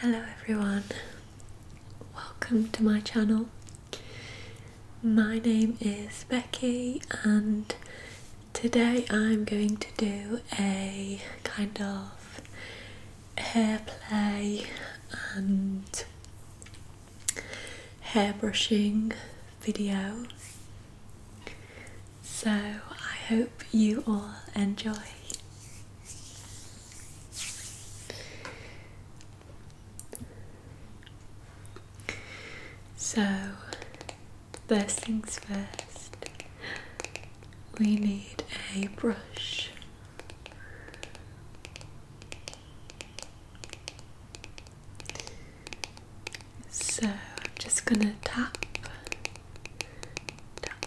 Hello everyone, welcome to my channel. My name is Becky, and today I'm going to do a kind of hair play and hair brushing video. So I hope you all enjoy. So, first things first, we need a brush. So, I'm just going to tap, tap,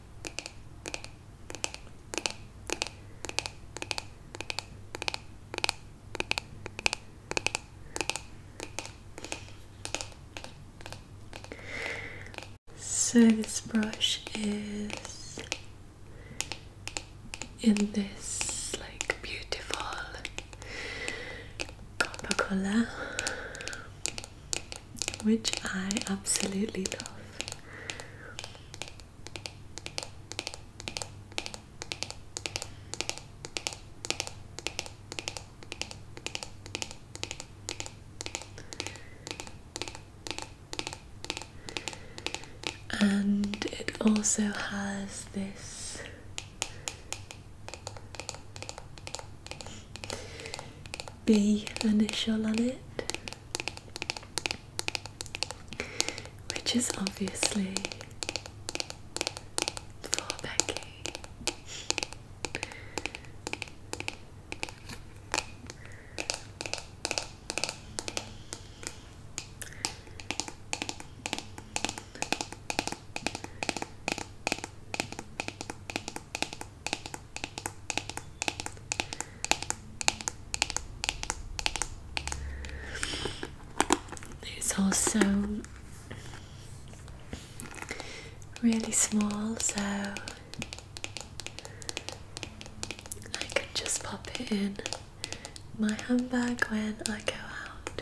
So this brush is in this like beautiful copper color which I absolutely love. And it also has this B initial on it, which is obviously for Becky. It's also really small, so I can just pop it in my handbag when I go out.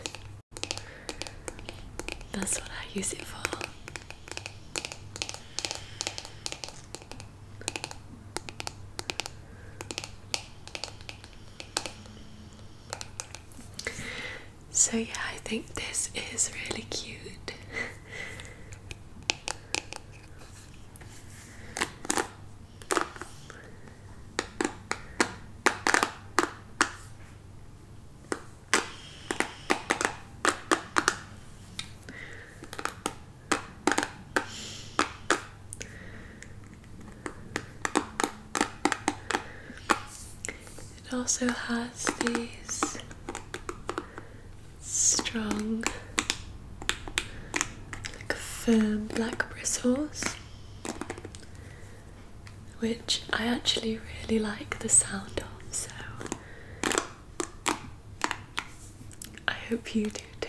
That's what I use it for. So, yeah, I think this is really cute. It also has these strong, like firm black bristles, which I actually really like the sound of. So I hope you do too.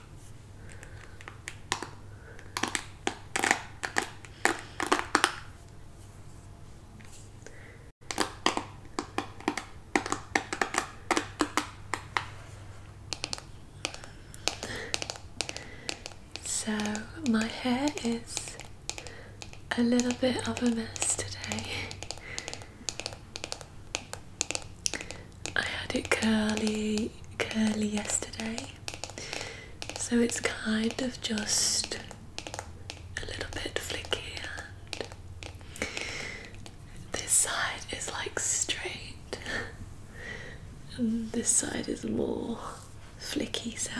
So, my hair is a little bit of a mess today. I had it curly curly yesterday, so it's kind of just a little bit flicky. And this side is like straight, and this side is more flicky. So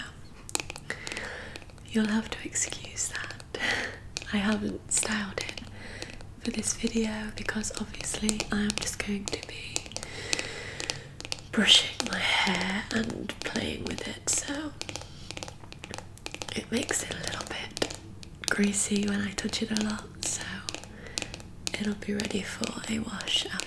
you'll have to excuse that. I haven't styled it for this video because obviously I'm just going to be brushing my hair and playing with it so it makes it a little bit greasy when I touch it a lot so it'll be ready for a wash after.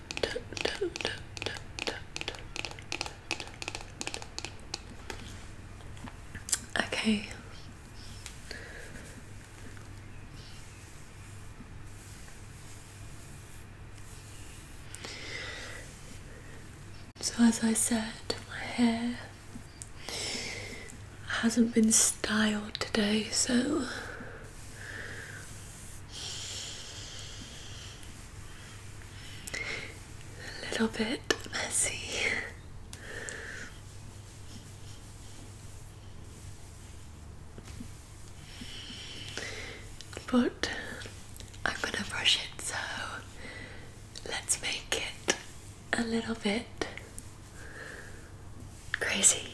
Okay. So, as I said, my hair hasn't been styled today, so a little bit messy. But I'm going to brush it, so let's make it a little bit crazy.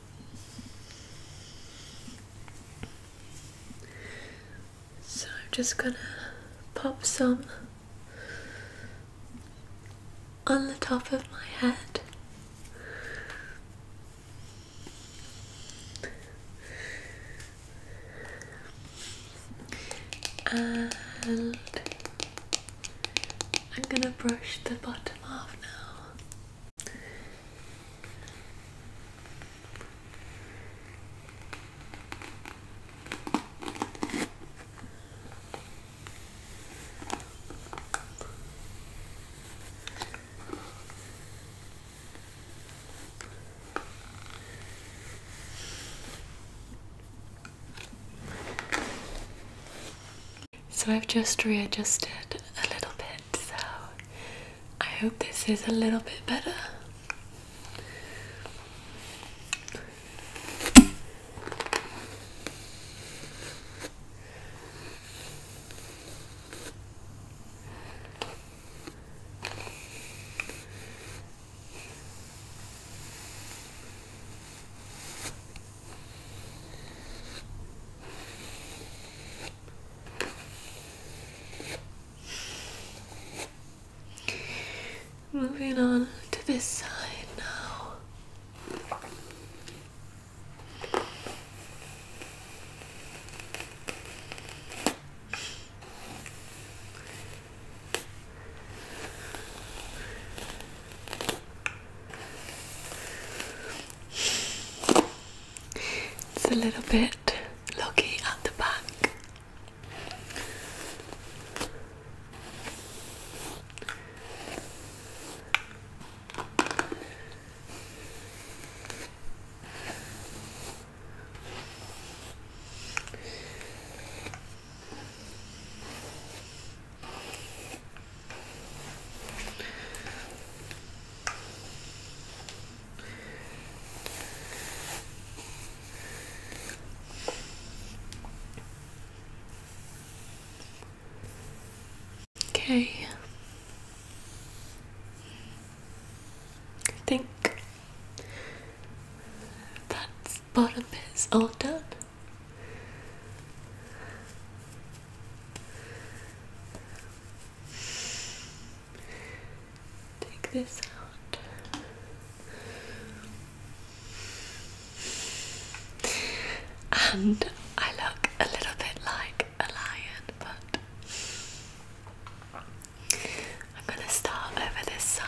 So I'm just gonna pop some on the top of my head. And I'm gonna brush the bottom off now. So I've just readjusted a little bit so I hope this is a little bit better. Moving on to this side now. It's a little bit loggy at the back. Okay. think that bottom is all done. Take this out. And I look a little bit like a lion, but I'm going to start over this side.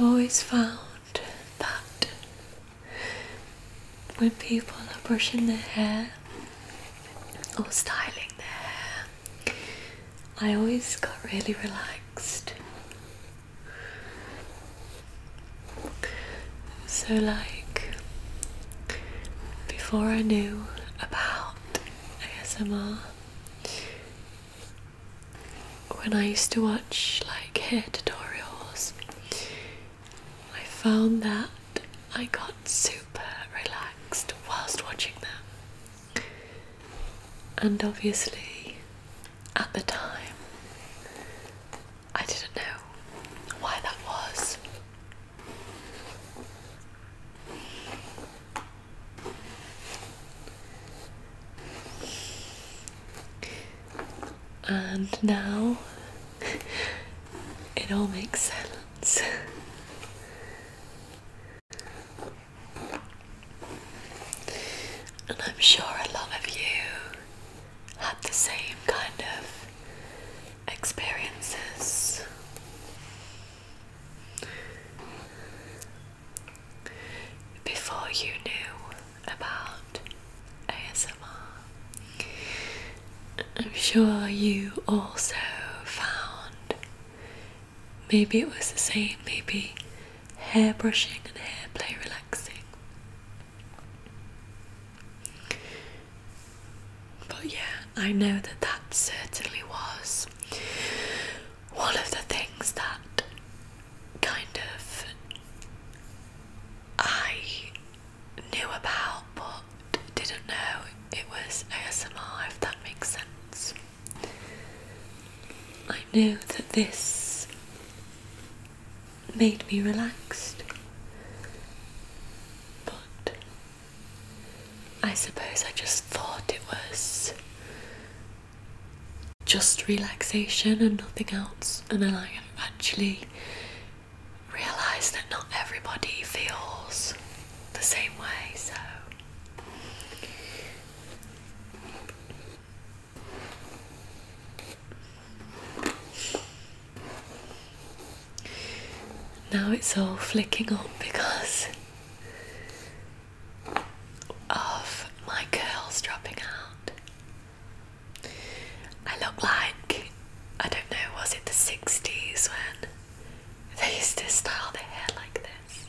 I've always found that when people are brushing their hair or styling their hair, I always got really relaxed. So, like, before I knew about ASMR, when I used to watch like hair tutorials, I found that I got super relaxed whilst watching them. And obviously, at the time, I didn't know why that was. And now it all makes sense. And I'm sure a lot of you had the same kind of experiences. Before you knew about ASMR, I'm sure you also found Maybe it was the same, maybe hair brushing and hair play relaxing. But yeah, I know that that certainly was one of the things that kind of I knew about but didn't know it was ASMR, if that makes sense. I know that this made me relaxed, but I suppose I just thought it was just relaxation and nothing else, and then I actually realised that not everybody feels the same way, so now it's all flicking on because of my curls dropping out. I look like, I don't know, was it the 60s when they used to style their hair like this?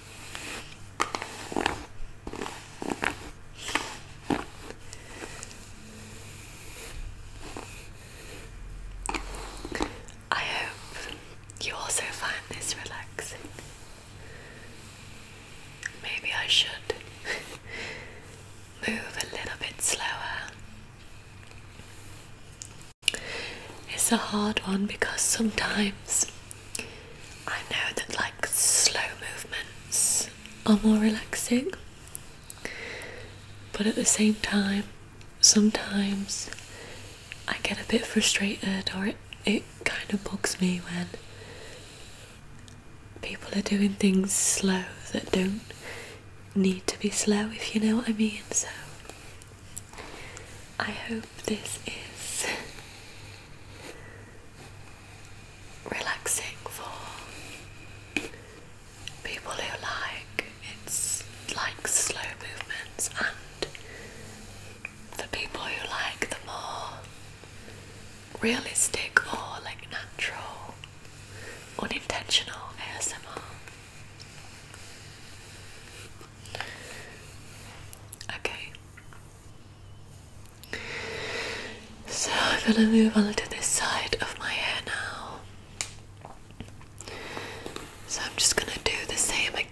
I hope you also find this relaxing. Maybe I should move a little bit slower it's a hard one because sometimes I know that like slow movements are more relaxing, but at the same time, sometimes I get a bit frustrated or it, kind of bugs me when people are doing things slow that don't need to be slow, if you know what I mean. So I hope this is relaxing for people who like it's like slow movements and for people who like the more realistic or like natural unintentional ASMR. Okay. So I'm gonna move on to this side of my hair now. So I'm just gonna do the same again.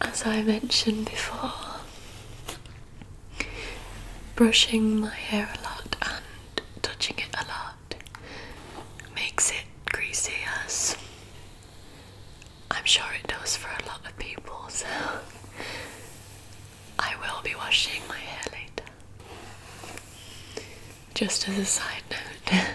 As I mentioned before, brushing my hair a lot and touching it a lot makes it greasy, as I'm sure it does for a lot of people, so I will be washing my hair later. Just as a side note.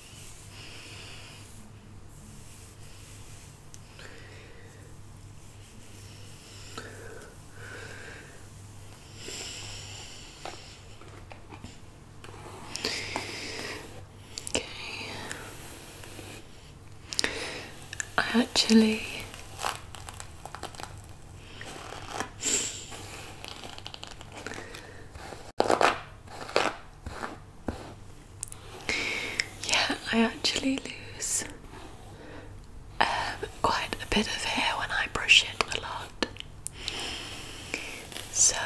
Okay. I actually yeah, I actually lose um, quite a bit of hair when I brush it a lot. So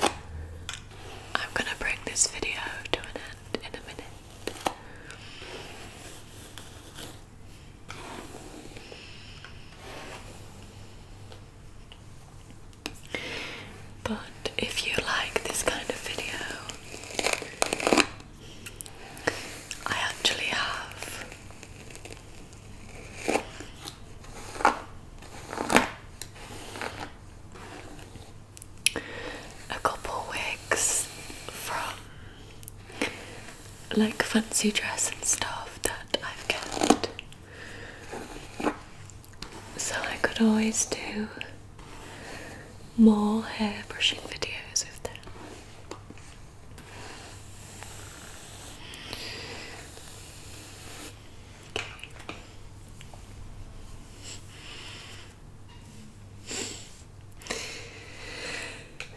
I'm going to bring this video to an end in a minute. But if you like this kind of video, I actually have a couple wigs from like fancy dress and stuff that I've kept so I could always do more hair brushing videos with them.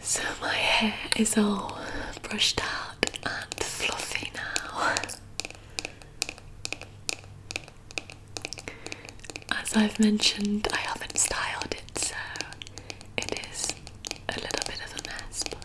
So my hair is all brushed out and fluffy now. As I've mentioned, I haven't styled it, so it is a little bit of a mess, but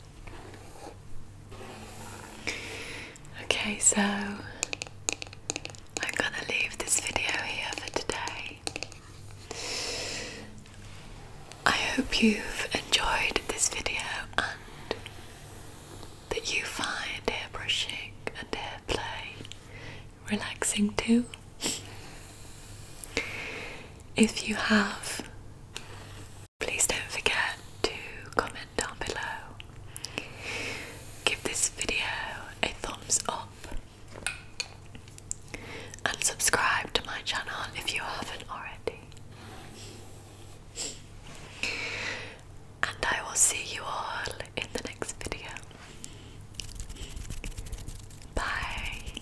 Okay, so I'm gonna leave this video here for today. I hope you've enjoyed this video and that you find hair brushing and hair play relaxing too. If you have Please don't forget to comment down below. Give this video a thumbs up and subscribe to my channel if you haven't already. And I will see you all in the next video. Bye.